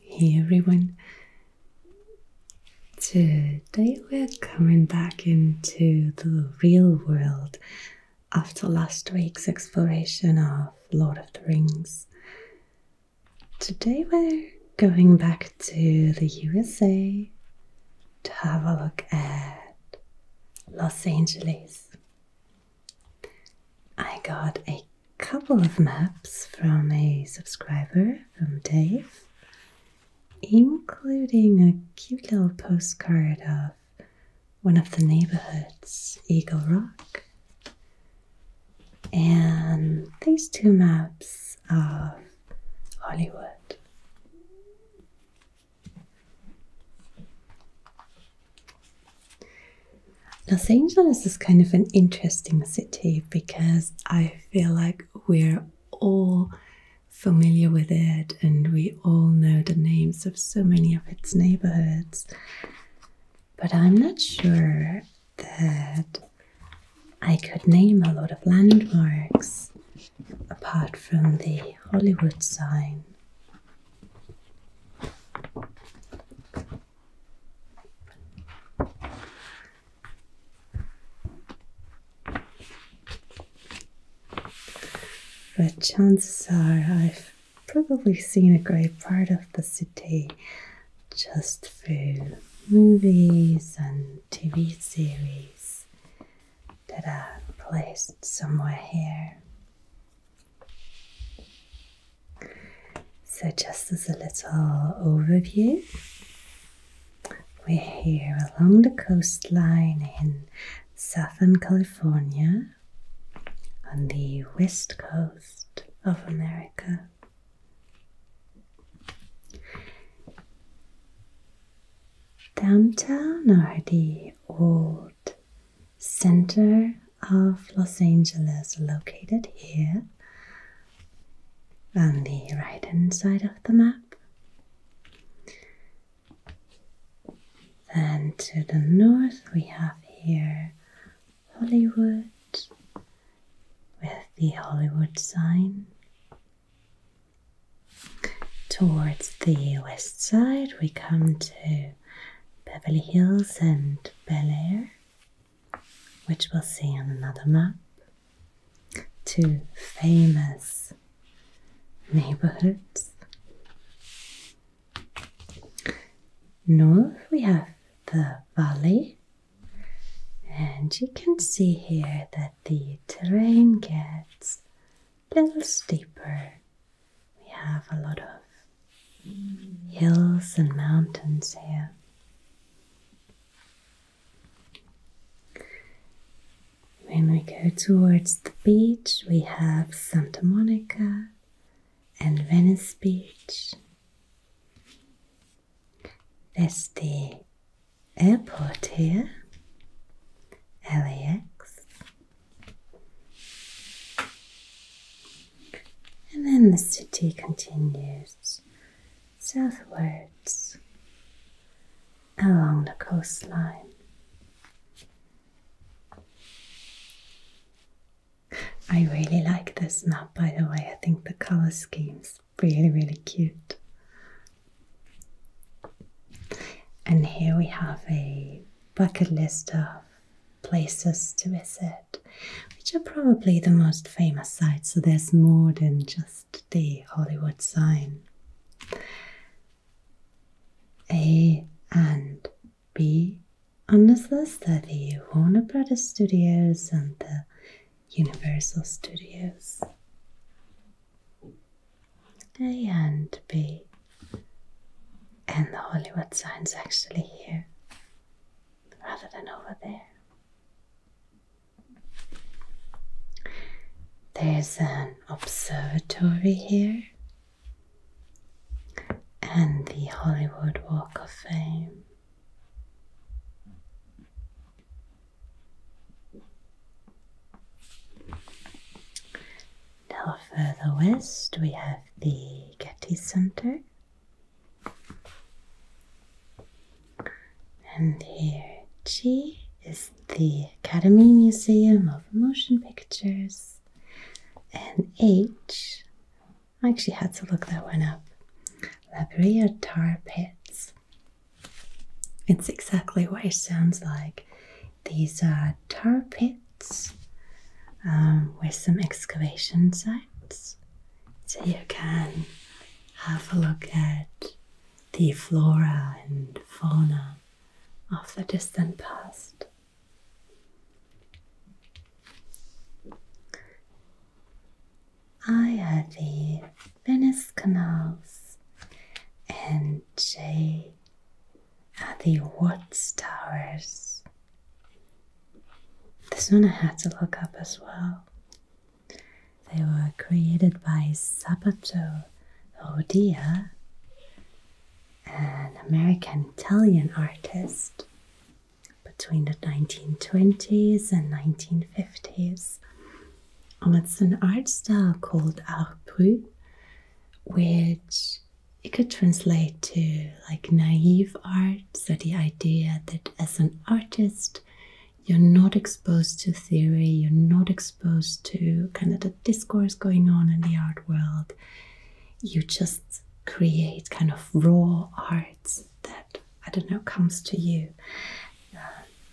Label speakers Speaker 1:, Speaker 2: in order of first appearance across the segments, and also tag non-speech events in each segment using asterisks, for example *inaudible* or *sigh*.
Speaker 1: Hey everyone! Today we're coming back into the real world after last week's exploration of Lord of the Rings. Today we're going back to the USA to have a look at Los Angeles. I got a couple of maps from a subscriber, from Dave, including a cute little postcard of one of the neighborhoods, Eagle Rock. And these two maps of Hollywood. Los Angeles is kind of an interesting city because I feel like we're all familiar with it and we all know the names of so many of its neighborhoods. But I'm not sure that I could name a lot of landmarks apart from the Hollywood sign. But chances are I've probably seen a great part of the city just through movies and TV series that are placed somewhere here. So, just as a little overview, we're here along the coastline in Southern California on the west coast of America. Downtown are the old center of Los Angeles, located here on the right hand side of the map. Then to the north, we have here Hollywood with the Hollywood sign. Towards the west side, we come to Beverly Hills and Bel Air, which we'll see on another map. Two famous neighborhoods. North we have the valley, and you can see here that the terrain gets a little steeper we have a lot of hills and mountains here. When we go towards the beach, we have Santa Monica and Venice Beach. There's the airport here, LAX. And then the city continues southwards along the coastline. I really like this map, by the way. I think the color scheme's really, really cute. And here we have a bucket list of places to visit, which are probably the most famous sites. So there's more than just the Hollywood sign. A and B on this list are the Warner Brothers Studios and the Universal Studios. A and B and the Hollywood sign's actually here rather than over there. There's an observatory here and the Hollywood Walk of Fame. Now, further west, we have the Getty Center. And here, G is the Academy Museum of Motion Pictures. And H, I actually had to look that one up. Labria Tar Pits. It's exactly what it sounds like. These are tar pits um, with some excavation sites. So you can have a look at the flora and fauna of the distant past. I have the Venice canals and J have the Watts towers. This one I had to look up as well. They were created by Sabato Rodia, an American Italian artist, between the 1920s and 1950s. And um, it's an art style called Art Brut, which it could translate to like naive art, so the idea that as an artist, you're not exposed to theory, you're not exposed to kind of the discourse going on in the art world. You just create kind of raw art that, I don't know, comes to you, uh,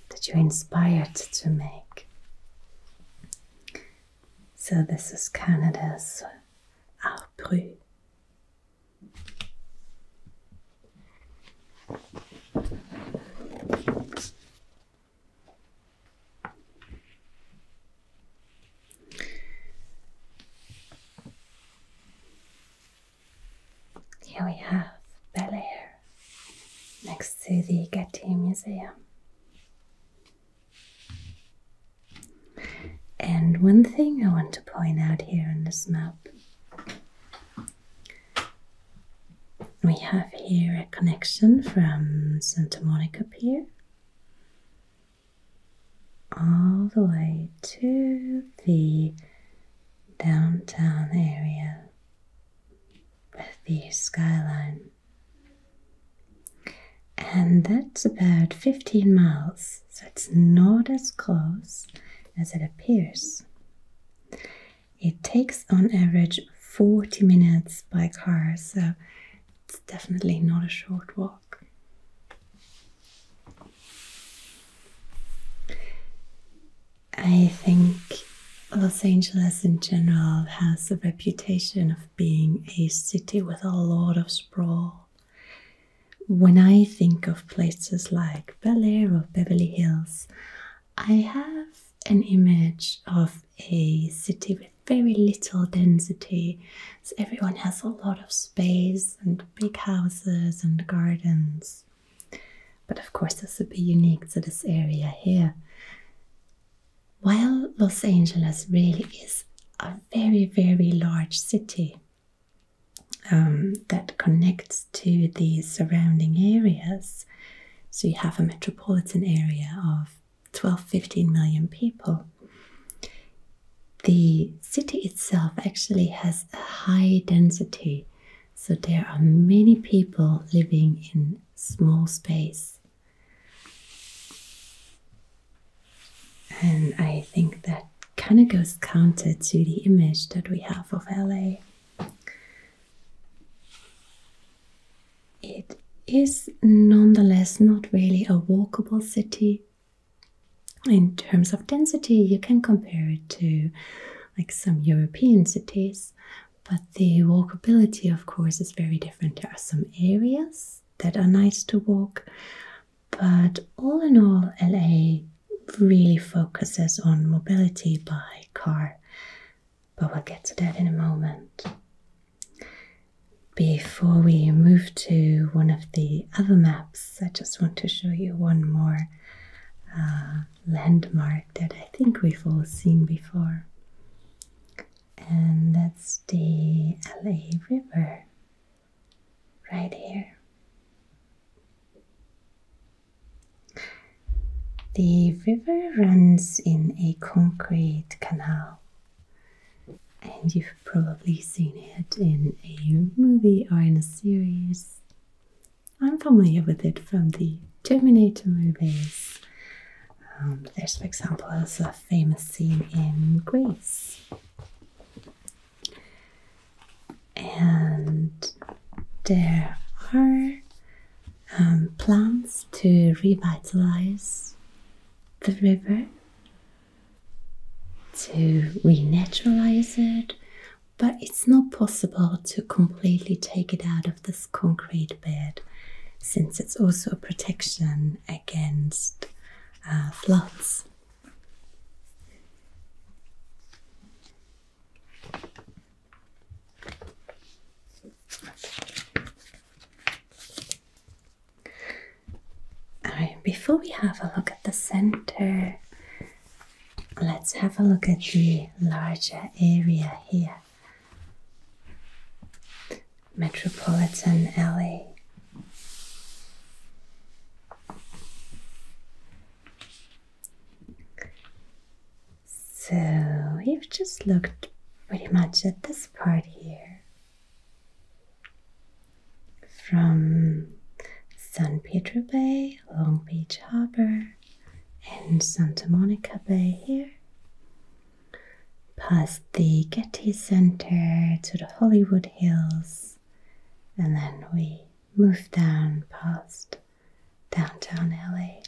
Speaker 1: that you're inspired to make. So, this is Canada's Art Brut here we have Bel Air next to the Getty Museum. And one thing I want to point out here on this map we have here a connection from Santa Monica Pier all the way to the downtown area with the skyline and that's about 15 miles, so it's not as close as it appears. It takes on average 40 minutes by car, so it's definitely not a short walk. I think Los Angeles in general has a reputation of being a city with a lot of sprawl. When I think of places like Bel Air or Beverly Hills, I have an image of a city with very little density. So everyone has a lot of space and big houses and gardens. But of course, this would be unique to this area here. While Los Angeles really is a very, very large city um, that connects to the surrounding areas. So you have a metropolitan area of 12 15 million people. The city itself actually has a high density, so there are many people living in small space. And I think that kind of goes counter to the image that we have of LA. It is nonetheless not really a walkable city. In terms of density, you can compare it to like some European cities, but the walkability, of course, is very different. There are some areas that are nice to walk, but all in all, LA really focuses on mobility by car, but we'll get to that in a moment. Before we move to one of the other maps, I just want to show you one more uh, landmark that I think we've all seen before, and that's the LA River right here. The river runs in a concrete canal, and you've probably seen it in a movie or in a series. I'm familiar with it from the Terminator movies. Um, there's, for example, also a famous scene in Greece and there are um, plans to revitalize the river, to renaturalize it, but it's not possible to completely take it out of this concrete bed since it's also a protection against uh, floods. All right, before we have a look at the center, let's have a look at the larger area here. Metropolitan Alley. So we have just looked pretty much at this part here from San Pedro Bay, Long Beach Harbor, and Santa Monica Bay here, past the Getty Center to the Hollywood Hills and then we move down past downtown LA.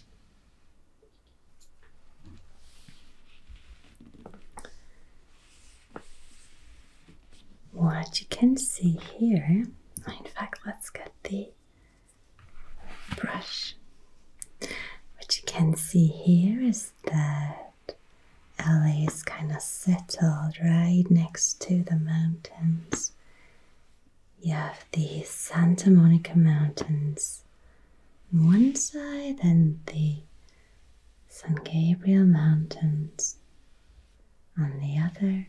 Speaker 1: What you can see here, in fact, let's get the brush. What you can see here is the. LA is kind of settled right next to the mountains. You have the Santa Monica Mountains on one side and the San Gabriel Mountains on the other,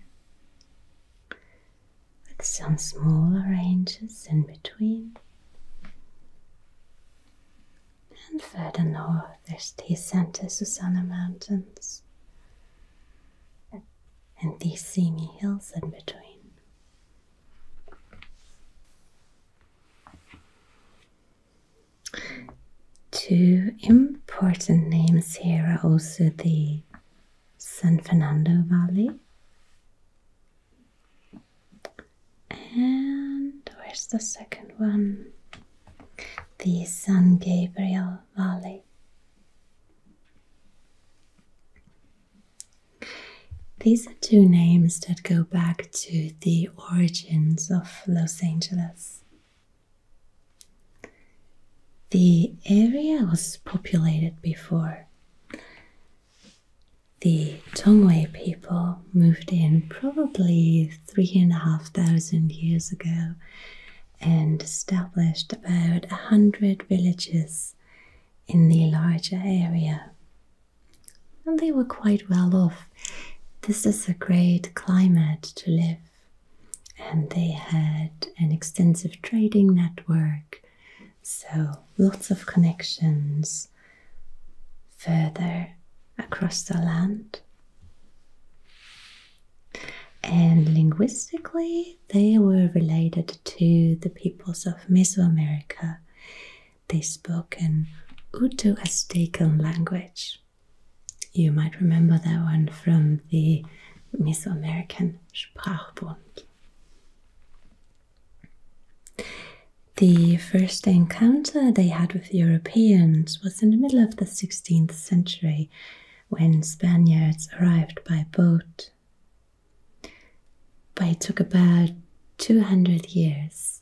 Speaker 1: with some smaller ranges in between and further north there's the Santa Susana Mountains and these Simi Hills in between. Two important names here are also the San Fernando Valley. And where's the second one? the San Gabriel Valley. These are two names that go back to the origins of Los Angeles. The area was populated before. The Tongwei people moved in probably three and a half thousand years ago and established about a hundred villages in the larger area. And they were quite well off. This is a great climate to live. And they had an extensive trading network, so lots of connections further across the land. And linguistically, they were related to the peoples of Mesoamerica. They spoke an Uto Aztecan language. You might remember that one from the Mesoamerican Sprachbund. The first encounter they had with Europeans was in the middle of the. 16th century when Spaniards arrived by boat. But it took about 200 years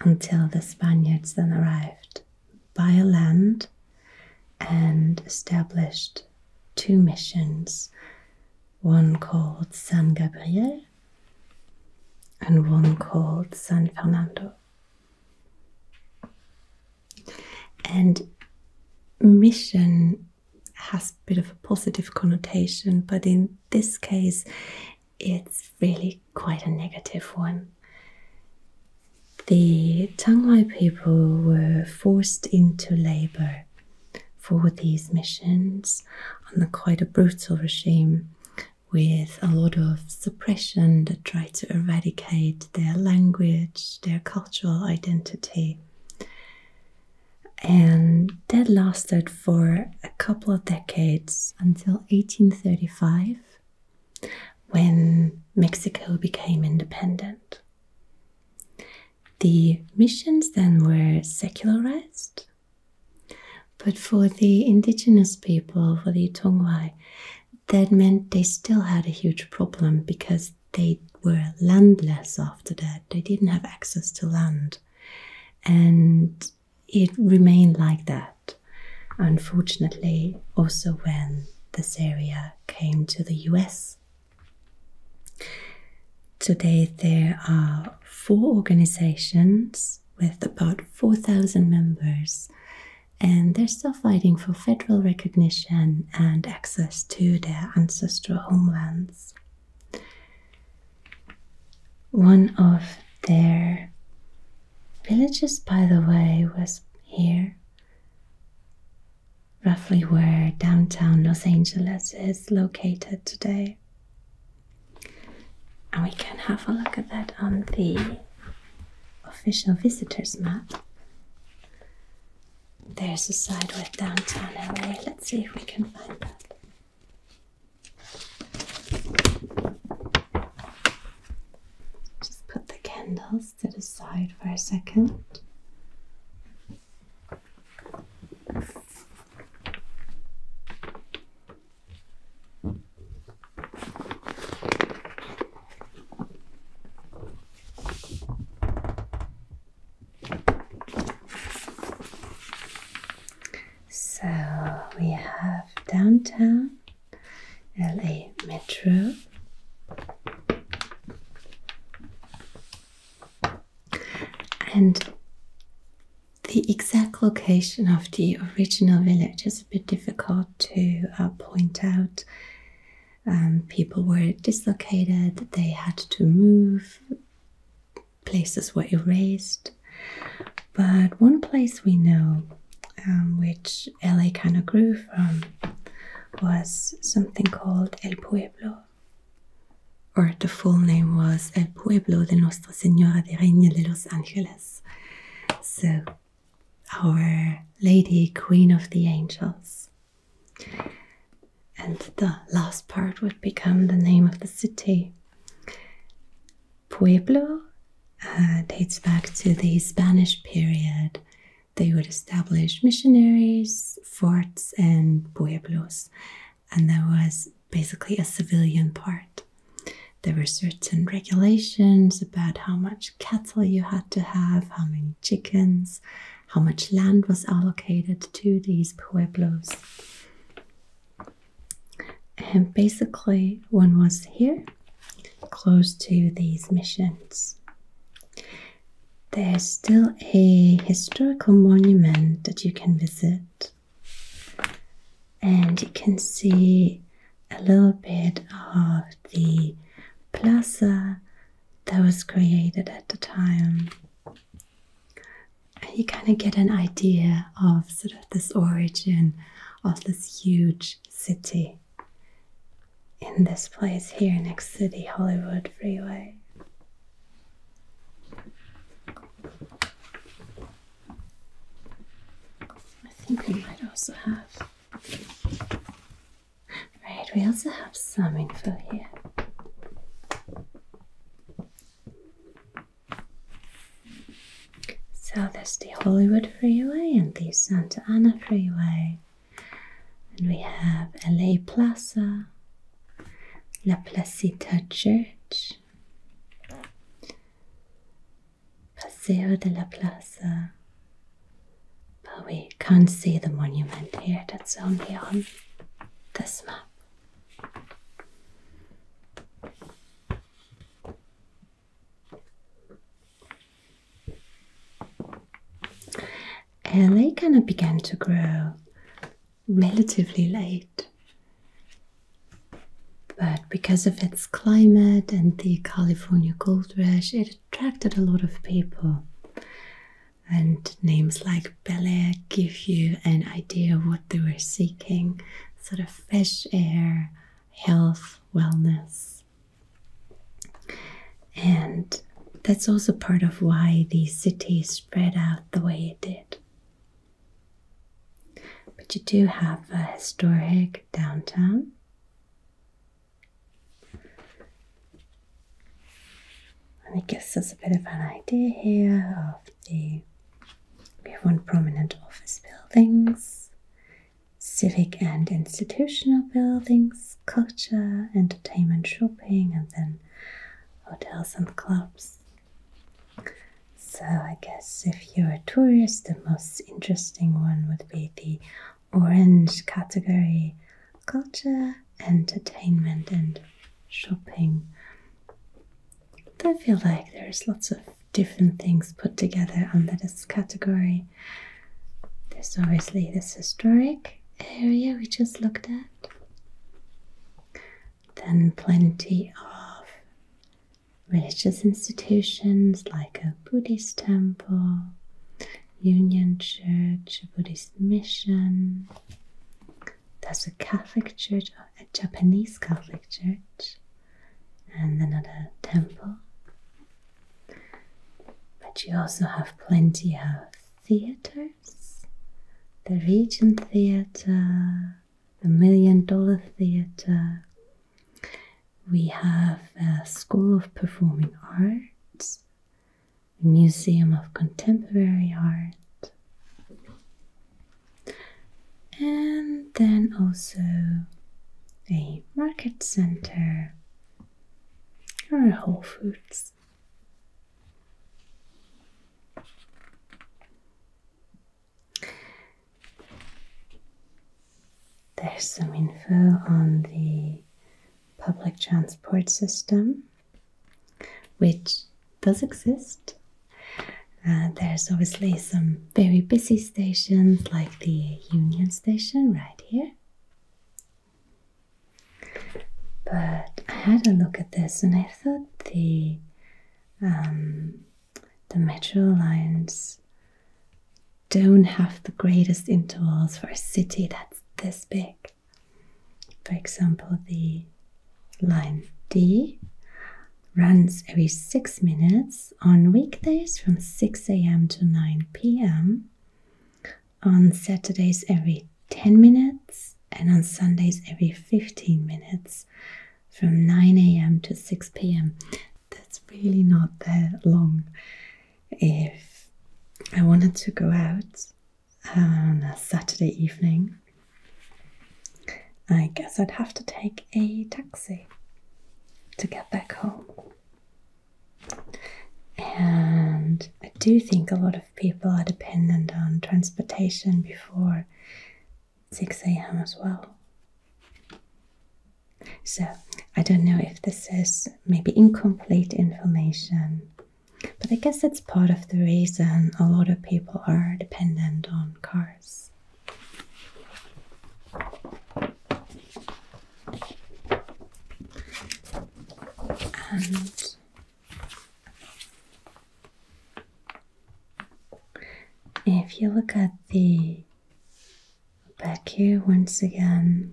Speaker 1: until the Spaniards then arrived by land and established two missions one called San Gabriel and one called San Fernando. And mission has a bit of a positive connotation, but in this case, it's really quite a negative one. The Chiang people were forced into labor for these missions under quite a brutal regime with a lot of suppression that tried to eradicate their language, their cultural identity. And that lasted for a couple of decades until 1835 when Mexico became independent. The missions then were secularized, but for the indigenous people, for the Tongwai, that meant they still had a huge problem because they were landless after that. They didn't have access to land. And it remained like that, unfortunately, also when this area came to the US. Today there are four organizations with about 4,000 members and they're still fighting for federal recognition and access to their ancestral homelands. One of their villages, by the way, was here, roughly where downtown Los Angeles is located today. And we can have a look at that on the official visitors map. There's a side with downtown LA. Let's see if we can find that. Just put the candles to the side for a second. So we have downtown LA Metro. And the exact location of the original village is a bit difficult to uh, point out um, people were dislocated, they had to move, places were erased. But one place we know, um, which LA kind of grew from, was something called El Pueblo, or the full name was El Pueblo de Nuestra Señora de Reina de los Ángeles. So our Lady Queen of the Angels. And the last part would become the name of the city. Pueblo uh, dates back to the Spanish period. They would establish missionaries, forts, and pueblos, and there was basically a civilian part. There were certain regulations about how much cattle you had to have, how many chickens, how much land was allocated to these pueblos. And basically, one was here, close to these missions. There's still a historical monument that you can visit and you can see a little bit of the plaza that was created at the time. And you kind of get an idea of sort of this origin of this huge city in this place here next city Hollywood Freeway. I think we might also have Right, we also have some info here. So there's the Hollywood Freeway and the Santa Ana Freeway. And we have LA Plaza, La Placita Church, Paseo de la Plaza. But we can't see the monument here, that's only on this map. And they kind of began to grow relatively late but because of its climate and the California gold rush, it attracted a lot of people. And names like Bel give you an idea of what they were seeking sort of fresh air, health, wellness. And that's also part of why the city spread out the way it did. But you do have a historic downtown. And it gives us a bit of an idea here of the we have one prominent office buildings, civic and institutional buildings, culture, entertainment, shopping, and then hotels and clubs. So I guess if if you're a tourist, the most interesting one would be the orange category culture, entertainment, and shopping. I feel like there's lots of different things put together under this category. There's obviously this historic area we just looked at, then plenty of religious institutions like a Buddhist temple, Union Church, a Buddhist mission. There's a Catholic church, a Japanese Catholic church, and another temple. But you also have plenty of theaters the Regent Theatre, the Million Dollar Theatre, we have a School of Performing Arts, Museum of Contemporary Art, and then also a market center or Whole Foods. There's some info on the public transport system, which does exist. Uh, there's obviously some very busy stations like the Union Station right here. But I had a look at this and I thought the um, the Metro lines don't have the greatest intervals for a city that's this big. For example, the line D runs every six minutes on weekdays from 6 a.m. to 9 p.m., on Saturdays every 10 minutes, and on Sundays every 15 minutes from 9 a.m. to 6 p.m that's really not that long. If I wanted to go out on a Saturday evening, I guess I'd have to take a taxi to get back home. And I do think a lot of people are dependent on transportation before 6 a.m. as well. So I don't know if this is maybe incomplete information, but I guess that's part of the reason a lot of people are dependent on cars. And if you look at the back here once again.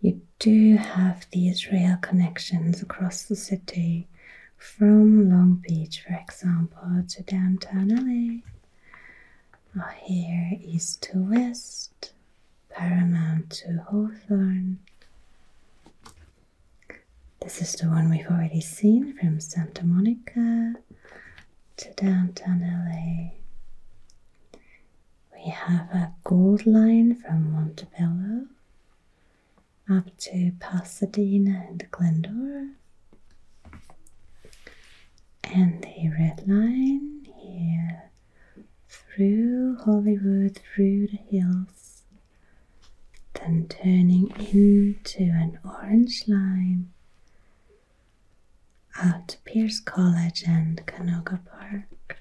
Speaker 1: You do have these rail connections across the city from Long Beach, for example, to downtown LA. Or here, east to west, Paramount to Hawthorne. This is the one we've already seen from Santa Monica to downtown LA. We have a Gold Line from Montebello up to Pasadena and Glendora, and the Red Line here through Hollywood, through the hills, then turning into an Orange Line at Pierce College and Canoga Park.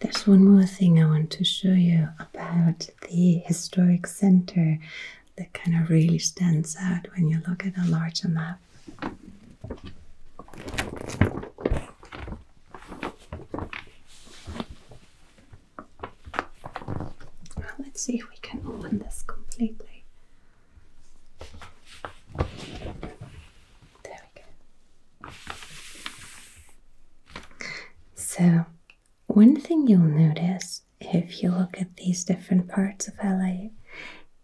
Speaker 1: There's one more thing I want to show you about the historic center that kind of really stands out when you look at a larger map let's see if we can open this completely. There we go. So, one thing you'll notice if you look at these different parts of LA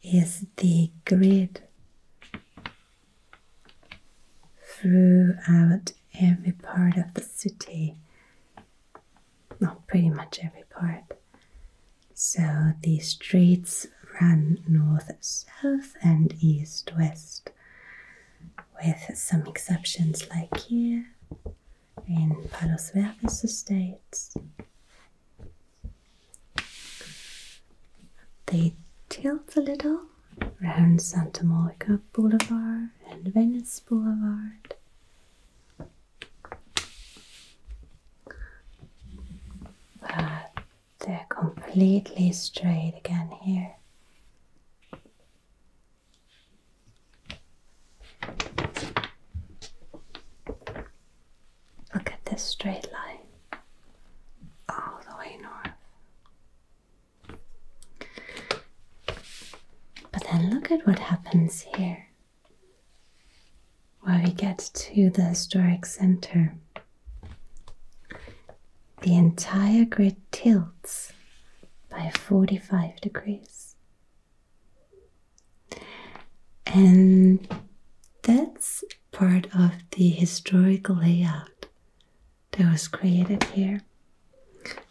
Speaker 1: is the grid throughout every part of the city. Not pretty much every part. So the streets run north south and east west, with some exceptions like here in Palos Verdes Estates they tilt a little around Santa Monica Boulevard and Venice Boulevard. But they're completely straight again here. Look at this straight line all the way north. But then look at what happens here where we get to the historic center. The entire grid tilts by 45 degrees. And that's part of the historical layout that was created here.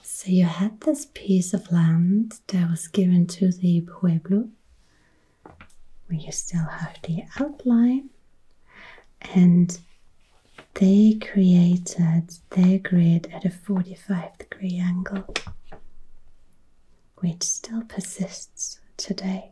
Speaker 1: So you had this piece of land that was given to the pueblo, where you still have the outline, and they created their grid at a 45 degree angle, which still persists today.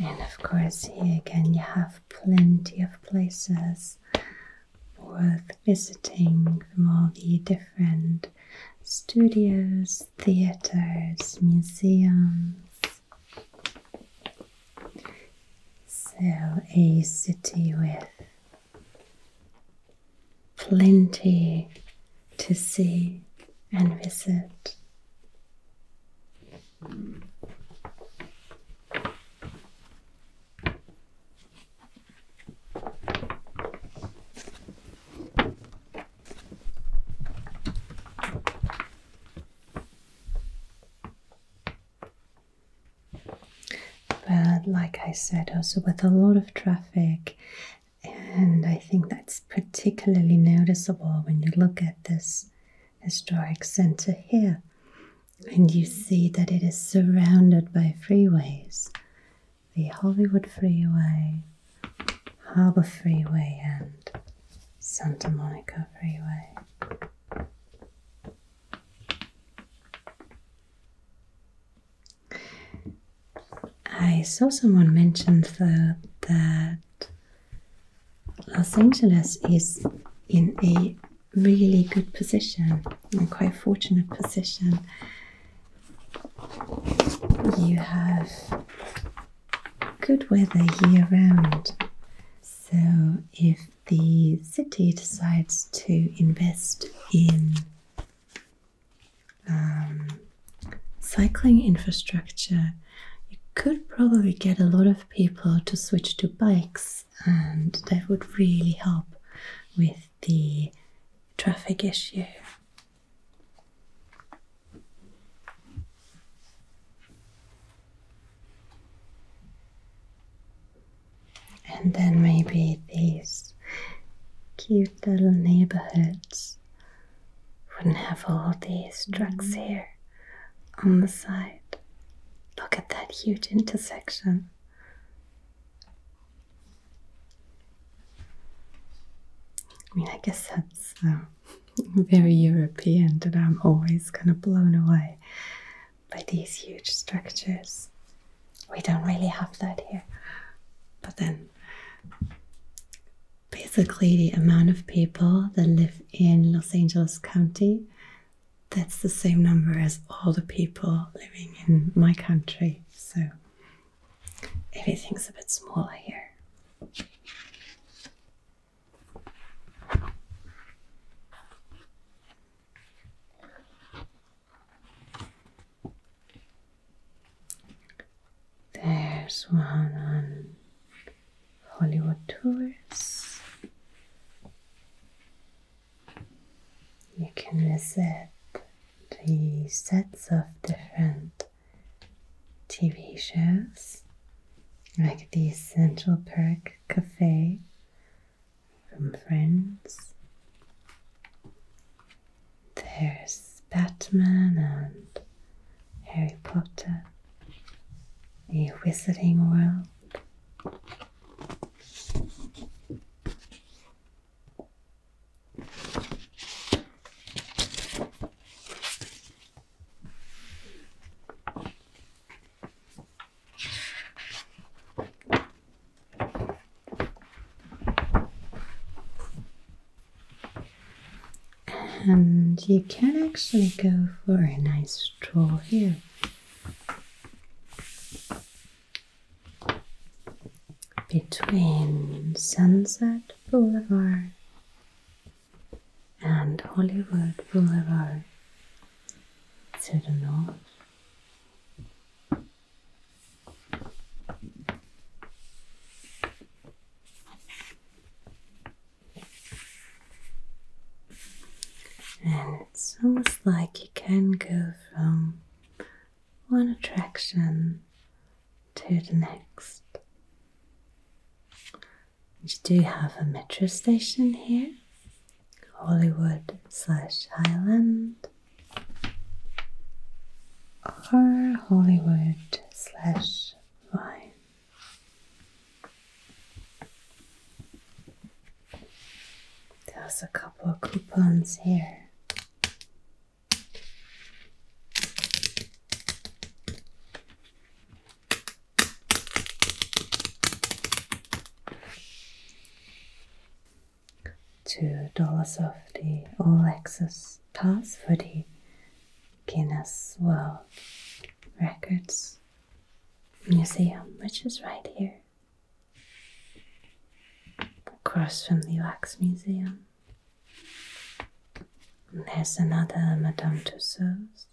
Speaker 1: And of course, here again, you have plenty of places worth visiting from all the different studios, theatres, museums. So, a city with plenty to see and visit. But, like I said, also with a lot of traffic and I think that's particularly noticeable when you look at this historic center here and you see that it is surrounded by freeways the Hollywood Freeway, Harbor Freeway, and Santa Monica Freeway. I saw someone mention though that Los Angeles is in a really good position, a quite fortunate position. You have good weather year round. So if the city decides to invest in um, cycling infrastructure, you could probably get a lot of people to switch to bikes, and that would really help with the traffic issue. And then maybe these cute little neighborhoods wouldn't have all these trucks mm-hmm. here on the side. Look at that huge intersection. I mean, I guess that's um, *laughs* very European that I'm always kind of blown away by these huge structures. We don't really have that here. But then basically the amount of people that live in Los Angeles County. That's the same number as all the people living in my country. So everything's a bit smaller here. There's one on Hollywood tours. You can visit the sets of different TV shows, like the Central Park Cafe from Friends, there's Batman and Harry Potter, a wizarding world. And you can actually go for a nice stroll here. Between Sunset Boulevard and Hollywood Boulevard to the north. And it's almost like you can go from one attraction to the next. We do have a metro station here, Hollywood slash Highland, or Hollywood slash why? There's a couple of coupons here. Two dollars off the all access pass for the Guinness World Records Museum, which is right here, across from the Wax Museum. And there's another Madame Tussauds.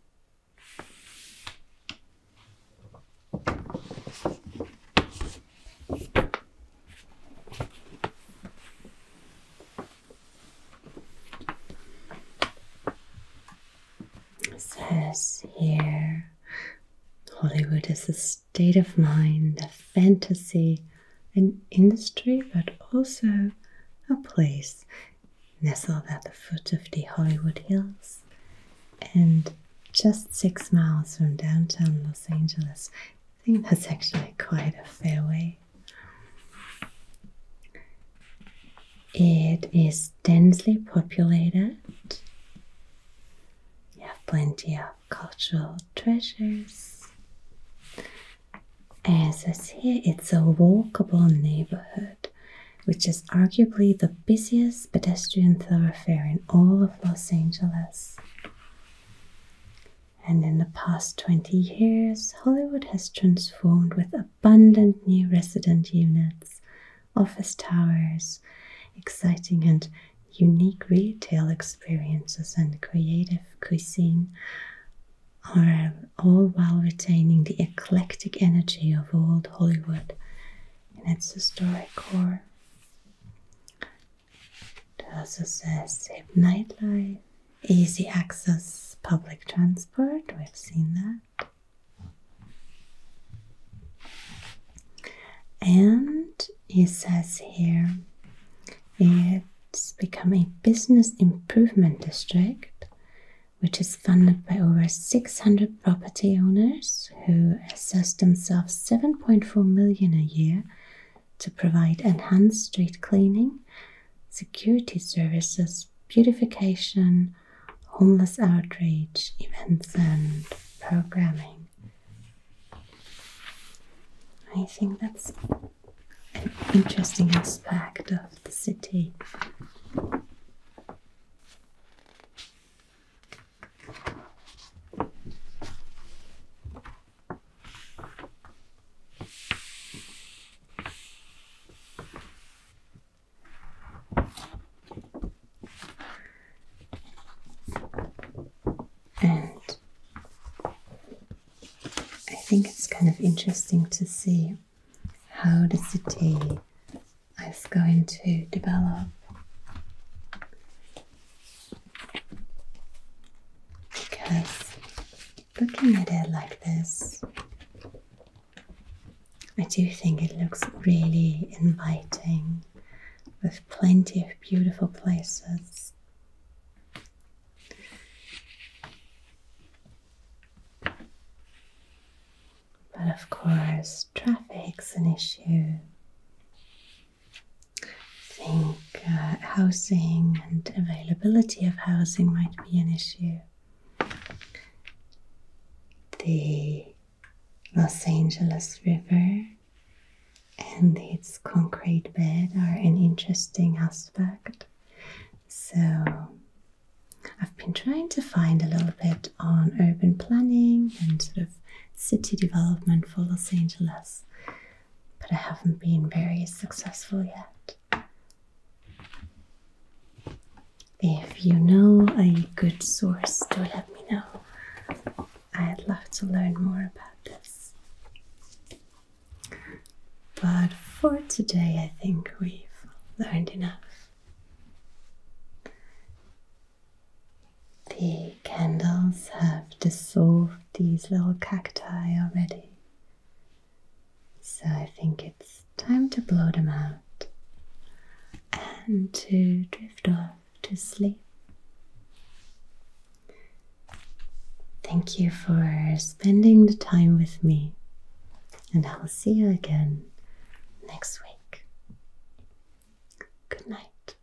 Speaker 1: It says here Hollywood is a state of mind, a fantasy, an industry, but also a place nestled at the foot of the Hollywood Hills and just six miles from downtown Los Angeles. I think that's actually quite a fair way. It is densely populated. You have plenty of cultural treasures. As it says here, it's a walkable neighborhood, which is arguably the busiest pedestrian thoroughfare in all of Los Angeles. And in the past 20 years, Hollywood has transformed with abundant new resident units, office towers, exciting and unique retail experiences, and creative cuisine, all while retaining the eclectic energy of old Hollywood in its historic core. Does this save nightlife, easy access public transport, we've seen that. And it says here it's become a business improvement district, which is funded by over 600 property owners who assess themselves 7.4 million a year to provide enhanced street cleaning, security services, beautification, homeless outreach, events, and programming. I think that's an interesting aspect of the city. And I think it's kind of interesting to see how the city is going to develop. Because looking at it like this, I do think it looks really inviting with plenty of beautiful places. But of course, traffic's an issue. Things uh, housing and availability of housing might be an issue. The Los Angeles River and its concrete bed are an interesting aspect. So, I've been trying to find a little bit on urban planning and sort of city development for Los Angeles, but I haven't been very successful yet. If you know a good source, do let me know. I'd love to learn more about this. But for today, I think we've learned enough. The candles have dissolved these little cacti already, so I think it's time to blow them out and to drift off to sleep. Thank you for spending the time with me, and I'll see you again next week. Good night.